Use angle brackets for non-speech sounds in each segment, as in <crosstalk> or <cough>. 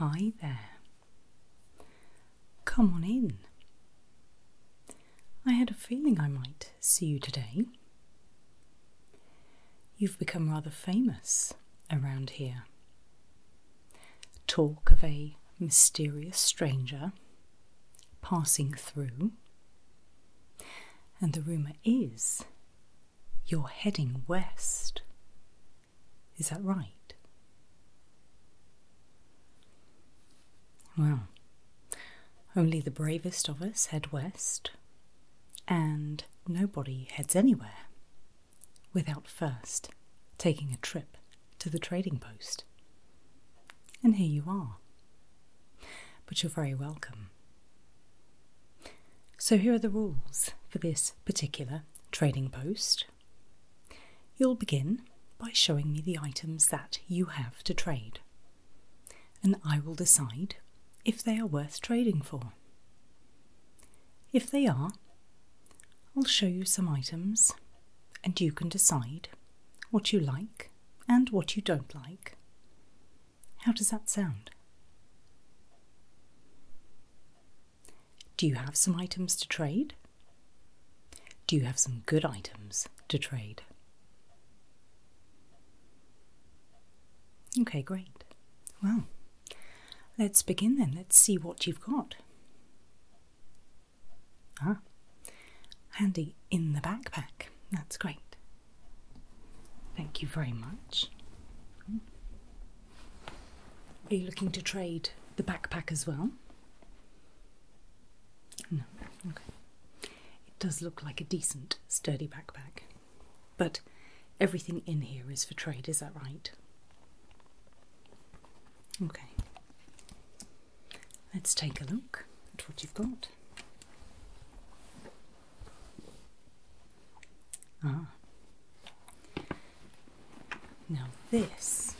Hi there. Come on in. I had a feeling I might see you today. You've become rather famous around here. Talk of a mysterious stranger passing through, and the rumour is you're heading west. Is that right? Well, only the bravest of us head west, and nobody heads anywhere without first taking a trip to the trading post. And here you are. But you're very welcome. So, here are the rules for this particular trading post. You'll begin by showing me the items that you have to trade, and I will decide if they are worth trading for. If they are, I'll show you some items and you can decide what you like and what you don't like. How does that sound? Do you have some items to trade? Do you have some good items to trade? Okay, great. Well, let's begin then. Let's see what you've got. Ah, handy in the backpack. That's great. Thank you very much. Are you looking to trade the backpack as well? No, okay. It does look like a decent, sturdy backpack. But everything in here is for trade, is that right? Okay. Let's take a look at what you've got. Ah. Now this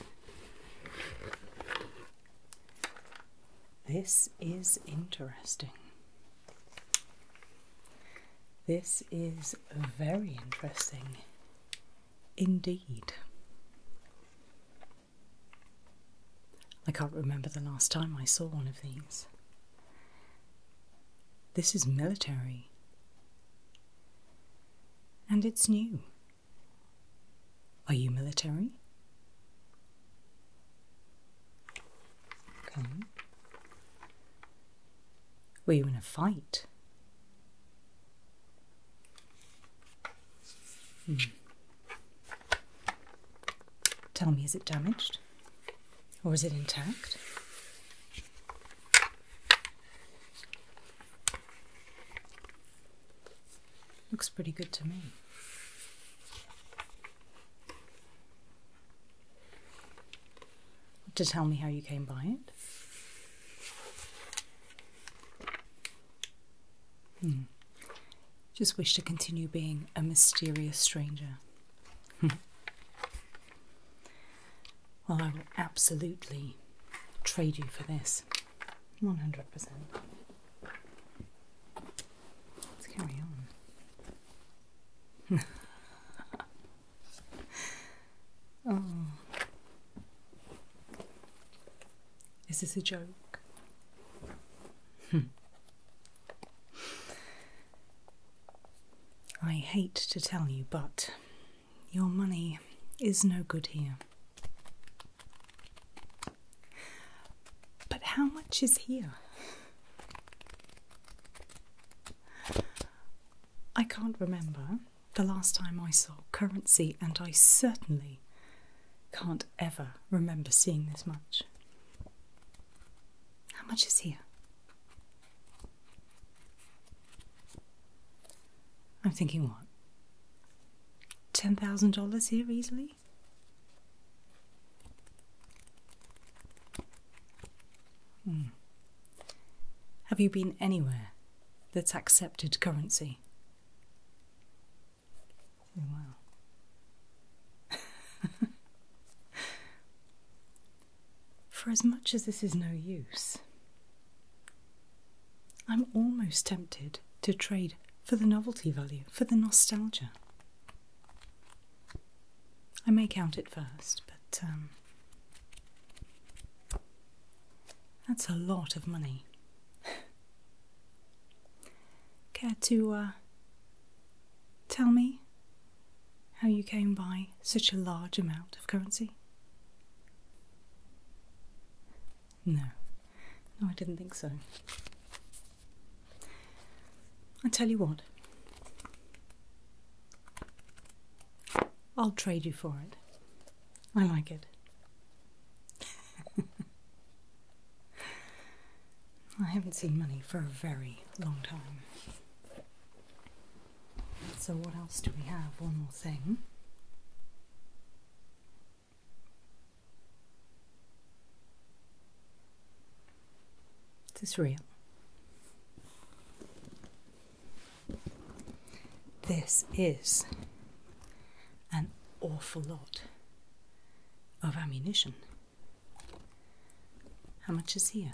this is interesting. This is very interesting indeed. I can't remember the last time I saw one of these. This is military. And it's new. Are you military? Okay. Were you in a fight? Hmm. Tell me, is it damaged? Or is it intact? Looks pretty good to me. To tell me how you came by it? Hmm. Just wish to continue being a mysterious stranger. <laughs> well, I will absolutely trade you for this. 100%. Let's carry on. <laughs> oh. Is this a joke? <laughs> I hate to tell you, but your money is no good here. But how much is here? I can't remember the last time I saw currency, and I certainly can't ever remember seeing this much. How much is here? I'm thinking what? $10,000 here easily? Hmm. Have you been anywhere that's accepted currency? Wow. <laughs> For as much as this is no use, I'm almost tempted to trade for the novelty value, for the nostalgia. I may count it first, but um, that's a lot of money. <laughs> Care uh, Tell me how you came by such a large amount of currency. No, no, I didn't think so. I tell you what, I'll trade you for it. I like it. <laughs> I haven't seen money for a very long time. So, what else do we have? One more thing. Is this real? This is an awful lot of ammunition. How much is here?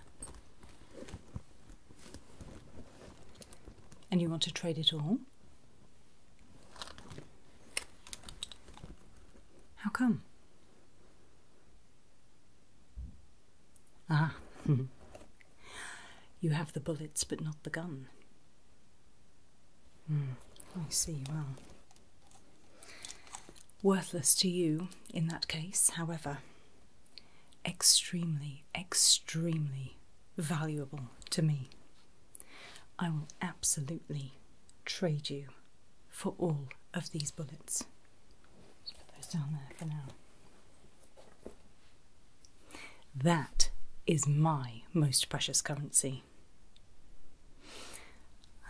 And you want to trade it all? How come? Ah, <laughs> you have the bullets but not the gun. Mm, I see, well. Worthless to you in that case, however, extremely, extremely valuable to me. I will absolutely trade you for all of these bullets. put those down there for now. That is my most precious currency.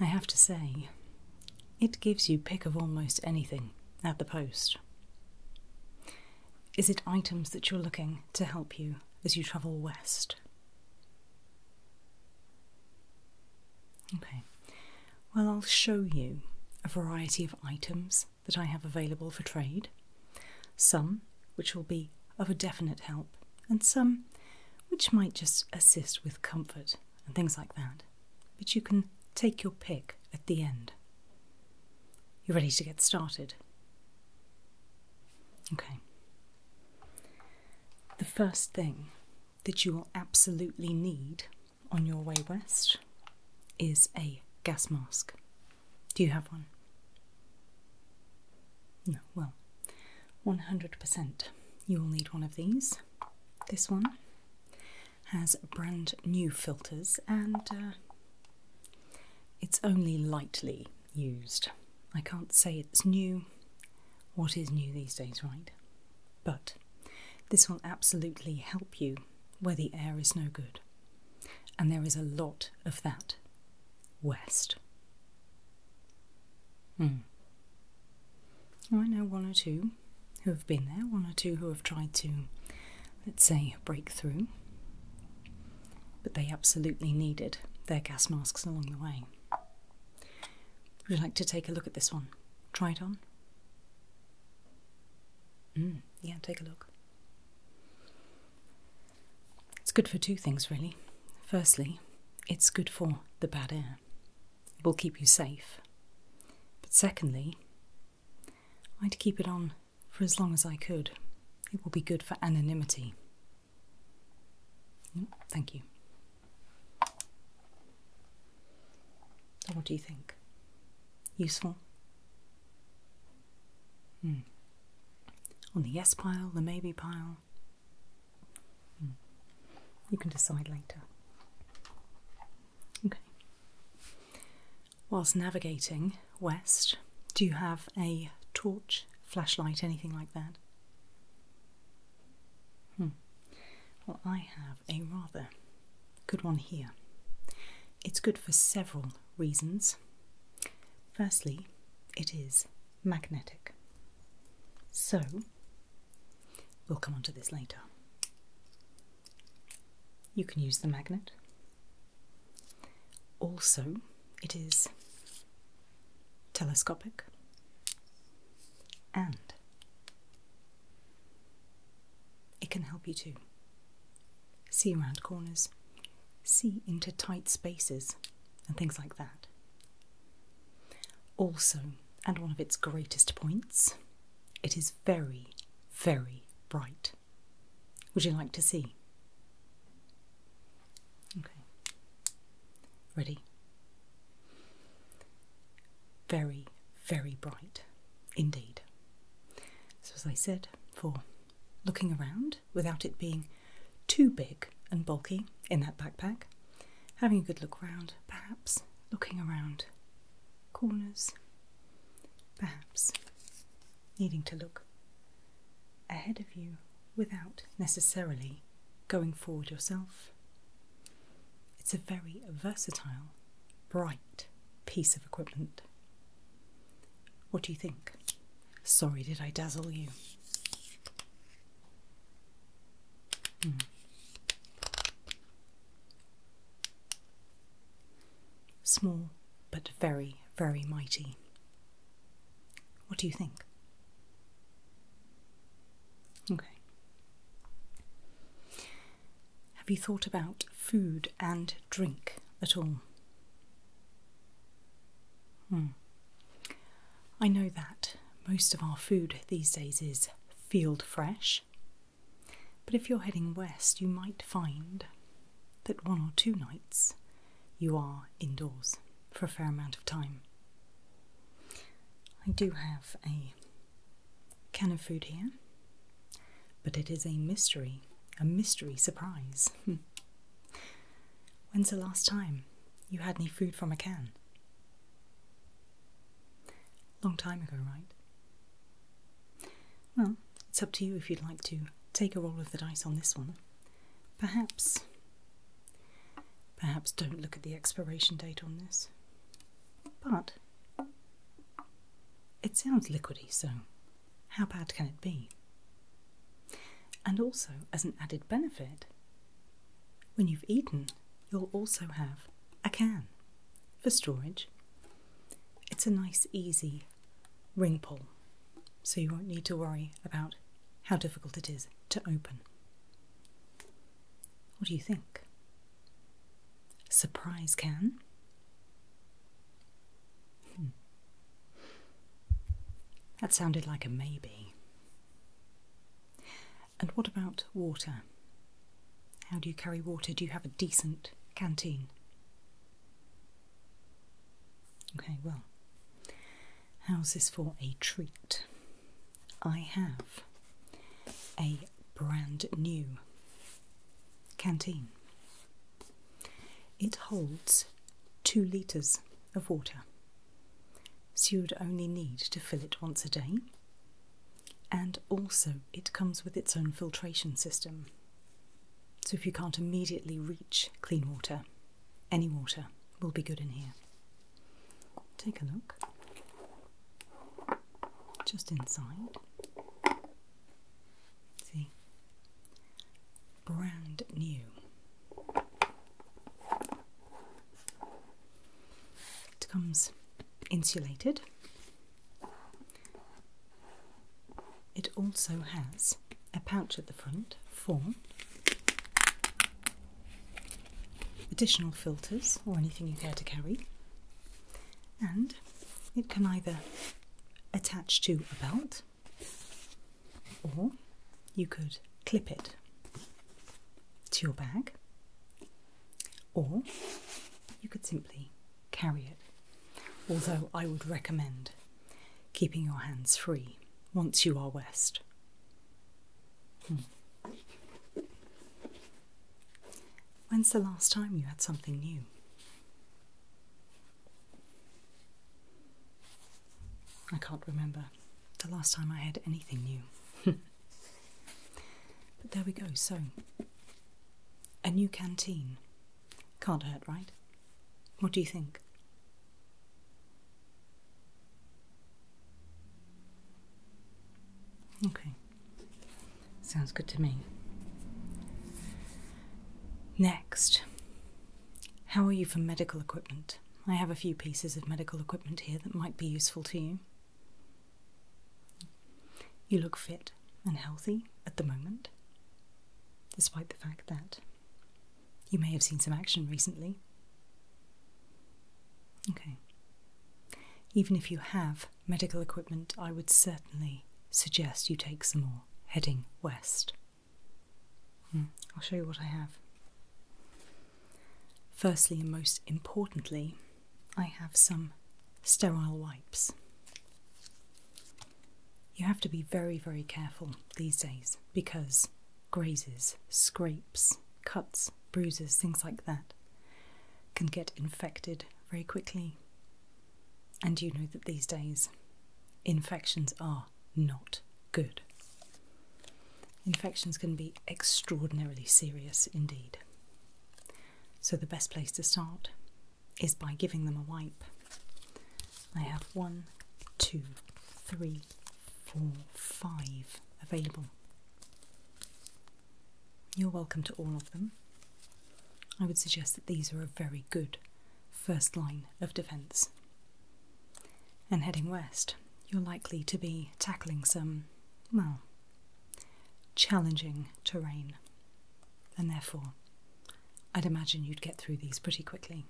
I have to say, it gives you pick of almost anything at the post. Is it items that you're looking to help you as you travel west? Okay, well, I'll show you a variety of items that I have available for trade, some which will be of a definite help, and some which might just assist with comfort and things like that. But you can take your pick at the end. You're ready to get started. Okay. The first thing that you will absolutely need on your way west is a gas mask. Do you have one? No, well, 100%. You will need one of these. This one has brand new filters and uh, it's only lightly used. I can't say it's new. What is new these days, right? But this will absolutely help you where the air is no good. And there is a lot of that west. Hmm. I know one or two who have been there, one or two who have tried to, let's say, break through, but they absolutely needed their gas masks along the way. Would you like to take a look at this one? Try it on? Hmm. yeah, take a look. It's good for two things, really. Firstly, it's good for the bad air, it will keep you safe. But secondly, I'd keep it on for as long as I could. It will be good for anonymity. Mm, thank you. What do you think? Useful? Hmm. On the yes pile, the maybe pile, Hmm. You can decide later. Okay. Whilst navigating west, do you have a torch, flashlight, anything like that? Hmm. Well, I have a rather good one here. It's good for several reasons. Firstly, it is magnetic. So, we'll come on to this later. You can use the magnet. Also, it is telescopic and it can help you to see around corners, see into tight spaces and things like that. Also, and one of its greatest points, it is very, very bright. Would you like to see? Okay. Ready? Very, very bright indeed. So, as I said, for looking around, without it being too big and bulky in that backpack. Having a good look round, perhaps looking around corners, perhaps needing to look ahead of you without necessarily going forward yourself. It's a very versatile, bright piece of equipment. What do you think? Sorry, did I dazzle you? Hmm. Small, but very, very mighty. What do you think? Okay. Have you thought about food and drink at all? Hmm. I know that most of our food these days is field fresh, but if you're heading west, you might find that one or two nights you are indoors for a fair amount of time. I do have a can of food here, but it is a mystery, a mystery surprise. <laughs> When's the last time you had any food from a can? Long time ago, right? Well, it's up to you if you'd like to take a roll of the dice on this one. Perhaps. Perhaps don't look at the expiration date on this. But. It sounds liquidy, so how bad can it be? and also as an added benefit. When you've eaten, you'll also have a can for storage. It's a nice, easy ring pull, so you won't need to worry about how difficult it is to open. What do you think? Surprise can? That sounded like a maybe. And what about water? How do you carry water? Do you have a decent canteen? Okay, well, how's this for a treat? I have a brand new canteen. It holds 2 litres of water, so you would only need to fill it once a day. And also, it comes with its own filtration system. So, if you can't immediately reach clean water, any water will be good in here. Take a look just inside. See, brand new. It comes insulated. It also has a pouch at the front for additional filters or anything you care to carry, and it can either attach to a belt or you could clip it to your bag, or you could simply carry it. Although I would recommend keeping your hands free once you are west. Hmm. When's the last time you had something new? I can't remember the last time I had anything new. <laughs> but there we go, so a new canteen. Can't hurt, right? What do you think? Okay, sounds good to me. Next, how are you for medical equipment? I have a few pieces of medical equipment here that might be useful to you. You look fit and healthy at the moment, despite the fact that you may have seen some action recently. Okay. Even if you have medical equipment, I would certainly suggest you take some more heading west. Hmm. I'll show you what I have. Firstly, and most importantly, I have some sterile wipes. You have to be very, very careful these days because grazes, scrapes, cuts, bruises, things like that can get infected very quickly and you know that these days infections are not good. Infections can be extraordinarily serious indeed. So, the best place to start is by giving them a wipe. I have one, two, three, four, five available. You're welcome to all of them. I would suggest that these are a very good first line of defence. And heading west, you're likely to be tackling some, well, challenging terrain. And therefore, I'd imagine you'd get through these pretty quickly.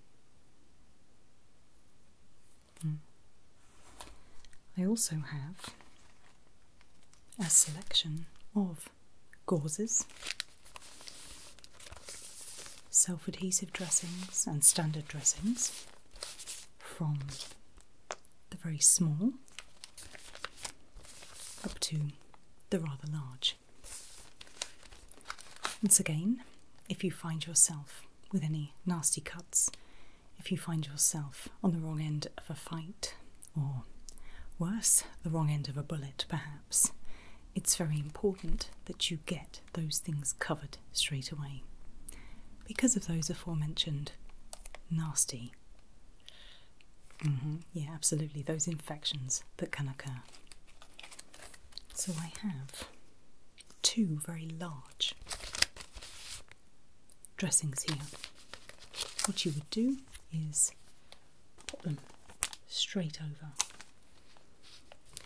Hmm. I also have a selection of gauzes, self adhesive dressings, and standard dressings from the very small up to the rather large. Once again, if you find yourself with any nasty cuts, if you find yourself on the wrong end of a fight, or worse, the wrong end of a bullet, perhaps it's very important that you get those things covered straight away because of those aforementioned nasty. Mm-hmm. Yeah, absolutely, those infections that can occur. So I have two very large dressings here. What you would do is Put them straight over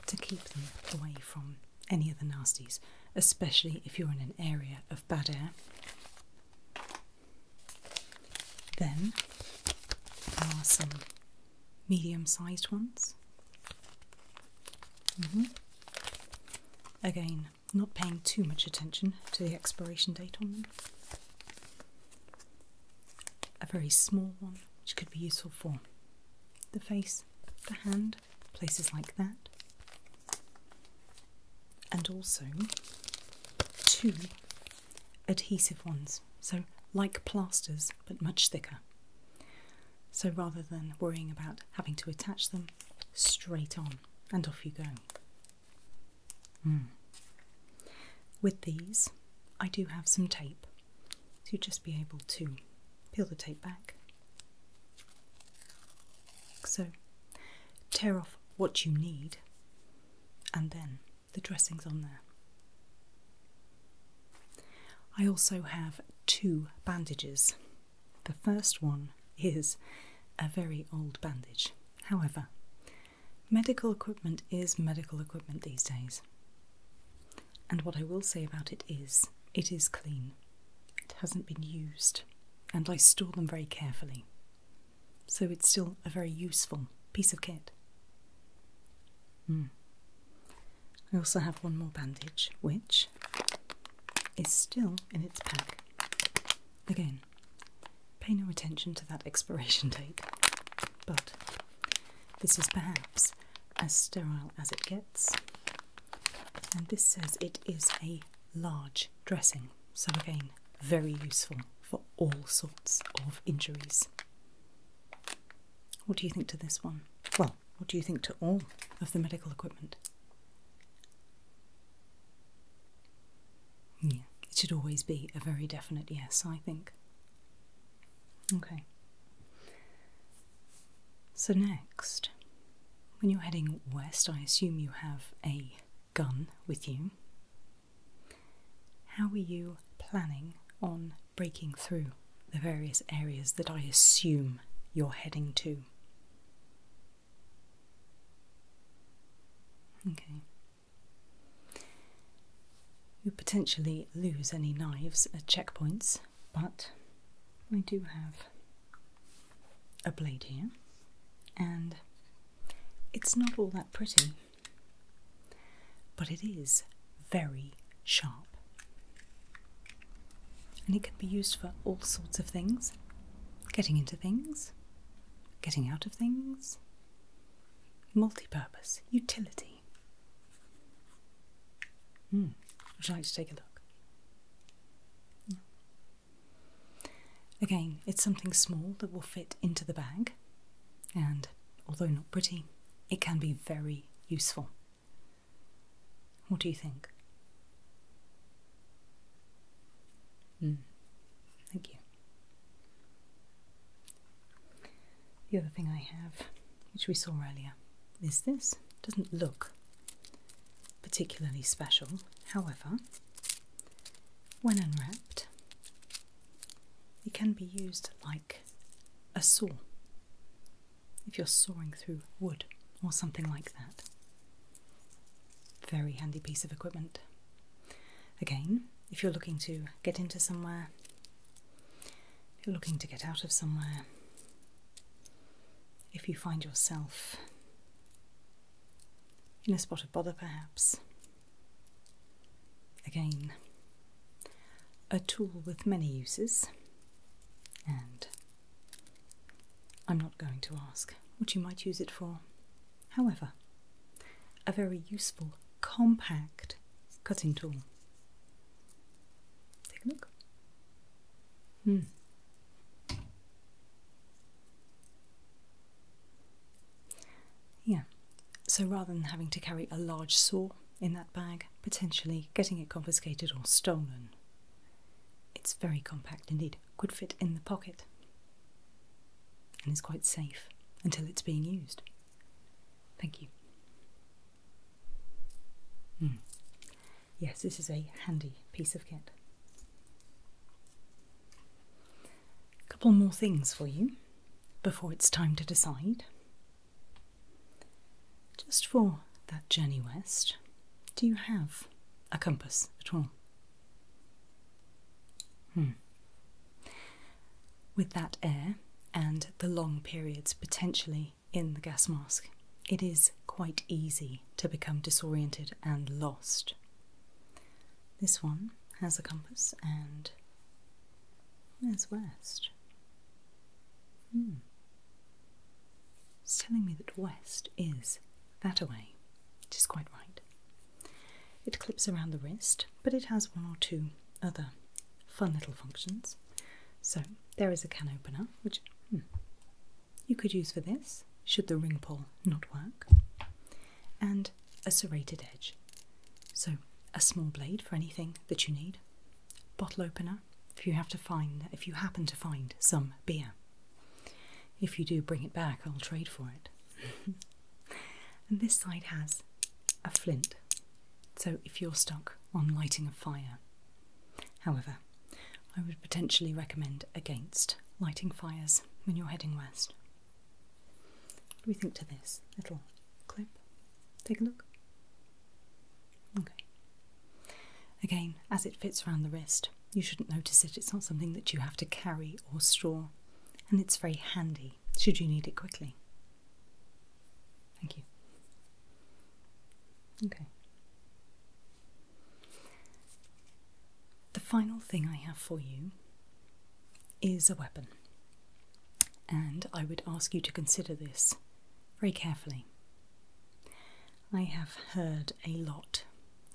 to keep them away from any other nasties, especially if you're in an area of bad air. Then there are some medium sized ones. Mm-hmm. Again, not paying too much attention to the expiration date on them a very small one, which could be useful for the face, the hand, places like that. And also two adhesive ones, so like plasters but much thicker. So rather than worrying about having to attach them, straight on and off you go. Mm. With these, I do have some tape to so just be able to peel the tape back. So, tear off what you need and then the dressings on there. I also have two bandages. The first one is a very old bandage. However, Medical equipment is medical equipment these days. And what I will say about it is, it is clean. It hasn't been used, and I store them very carefully. So it's still a very useful piece of kit. Hmm. I also have one more bandage, which is still in its pack. Again, Pay no attention to that expiration date. But this is perhaps as sterile as it gets. And this says it is a large dressing, so again, very useful for all sorts of injuries. What do you think to this one? Well, what do you think to all of the medical equipment? Yeah, it should always be a very definite yes, I think. Okay. So, next, when you're heading west, I assume you have a gun with you. How are you planning on breaking through the various areas that I assume you're heading to? Okay. You potentially lose any knives at checkpoints, but I do have a blade here, and it's not all that pretty, but it is very sharp. And it can be used for all sorts of things getting into things, getting out of things, Multi-purpose, utility. Mm. Would you like to take a look? Again, it's something small that will fit into the bag, and although not pretty, it can be very useful. What do you think? Mm. Thank you. The other thing I have, which we saw earlier, is this. It doesn't look particularly special, however, when unwrapped, it can be used like a saw if you're sawing through wood or something like that. Very handy piece of equipment. Again, if you're looking to get into somewhere, you're looking to get out of somewhere, if you find yourself in a spot of bother perhaps, again, a tool with many uses, and I'm not going to ask what you might use it for. However, a very useful, compact cutting tool. Take a look. Hmm. Yeah, so rather than having to carry a large saw in that bag, potentially getting it confiscated or stolen, it's very compact indeed could fit in the pocket and is quite safe until it's being used. Thank you. Hmm. Yes, this is a handy piece of kit. A couple more things for you before it's time to decide. Just for that journey west, do you have a compass at all? Hmm. With that air and the long periods potentially in the gas mask, it is quite easy to become disoriented and lost. This one has a compass and there's west. Hmm. It's telling me that west is that away, which is quite right. It clips around the wrist, but it has one or two other fun little functions. So there is a can opener, which hmm, you could use for this, should the ring pull not work, and a serrated edge. So a small blade for anything that you need, bottle opener if you have to find if you happen to find some beer. If you do bring it back, I'll trade for it. <laughs> and this side has a flint, so if you're stuck on lighting a fire, however, I would potentially recommend against lighting fires when you're heading west. What do we think to this little clip? Take a look. Okay. Again, as it fits around the wrist, you shouldn't notice it, it's not something that you have to carry or store, and it's very handy should you need it quickly. Thank you. Okay. The final thing I have for you is a weapon, and I would ask you to consider this very carefully. I have heard a lot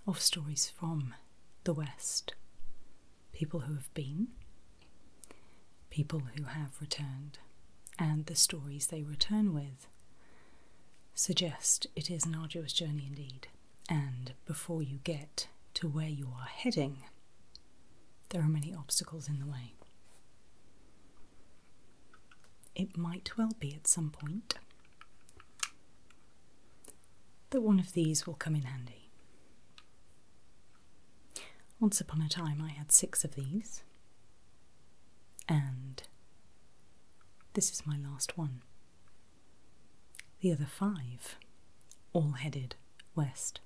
of stories from the West people who have been, people who have returned, and the stories they return with suggest it is an arduous journey indeed. And before you get to where you are heading, there are many obstacles in the way. It might well be at some point that one of these will come in handy. Once upon a time, I had six of these, and this is my last one. The other five all headed west.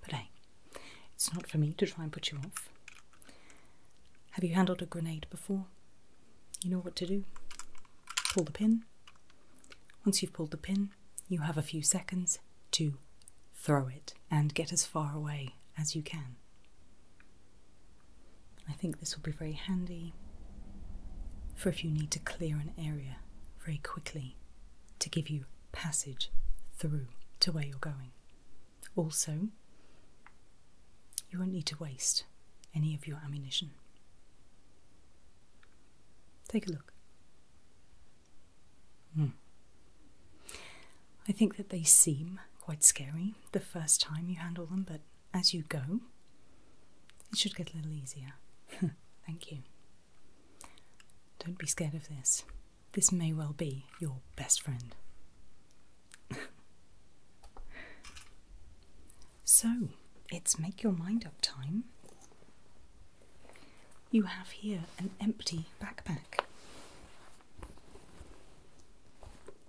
But hey, it's not for me to try and put you off. Have you handled a grenade before? you know what to do. Pull the pin. Once you've pulled the pin, you have a few seconds to throw it and get as far away as you can. I think this will be very handy for if you need to clear an area very quickly to give you passage through to where you're going. Also, you won't need to waste any of your ammunition. Take a look. Hmm. I think that they seem quite scary the first time you handle them, but as you go, it should get a little easier. <laughs> Thank you. Don't be scared of this. This may well be your best friend. <laughs> So, it's make your mind up time. You have here an empty backpack.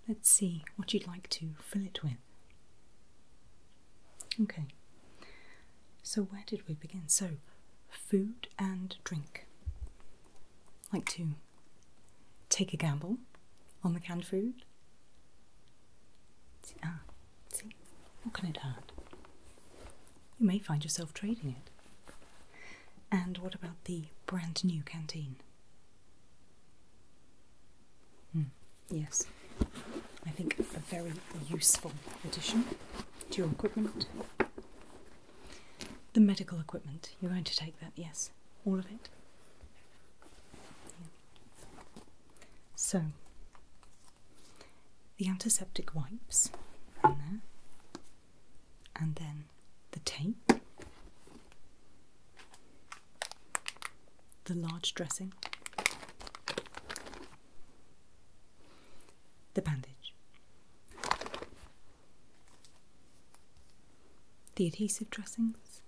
Let's see what you'd like to fill it with. Okay, so where did we begin? So, food and drink. like to take a gamble on the canned food? ah, see, what can it hurt? You may find yourself trading it. And what about the brand new canteen? Hmm, yes, I think a very useful addition to your equipment. The medical equipment, you're going to take that, yes all of it. So the antiseptic wipes and then the tape, the large dressing, the bandage the adhesive dressings,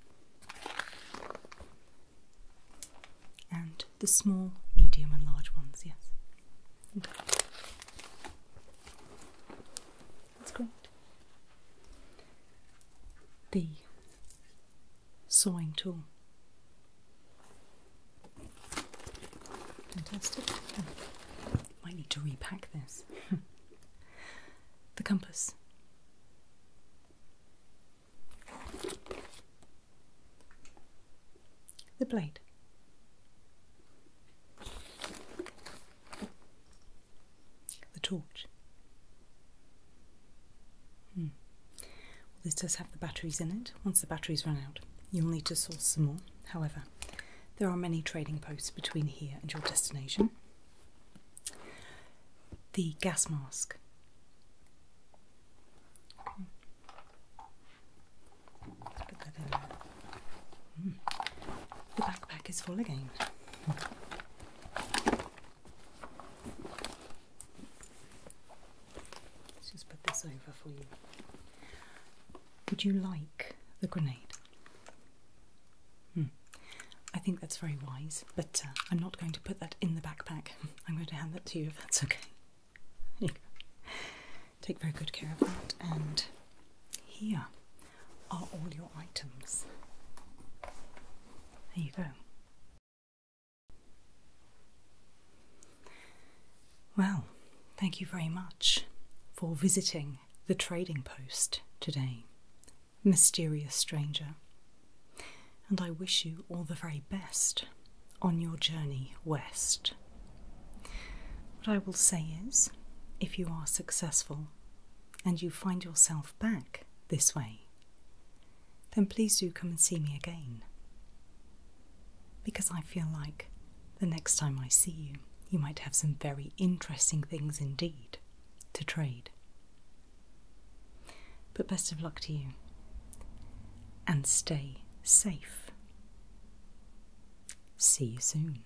and the small, medium, and large ones, yes. Okay. That's great. The sewing tool. Fantastic. Oh, might need to repack this. <laughs> the compass. The blade. The torch. Hmm. this does have the batteries in it. Once the batteries run out, you'll need to source some more. However, there are many trading posts between here and your destination the gas mask. Hmm. The backpack is full again. Let's just put this over for you. Would you like the grenade? Hmm. I think that's very wise, but uh, I'm not going to put that in the backpack. <laughs> I'm going to hand that to you if that's okay. Take very good care of that, and here are all your items. There you go. Well, thank you very much for visiting the trading post today mysterious stranger, and I wish you all the very best on your journey west. What I will say is, if you are successful and you find yourself back this way, then please do come and see me again. Because I feel like the next time I see you, you might have some very interesting things indeed to trade. But best of luck to you and stay safe. See you soon.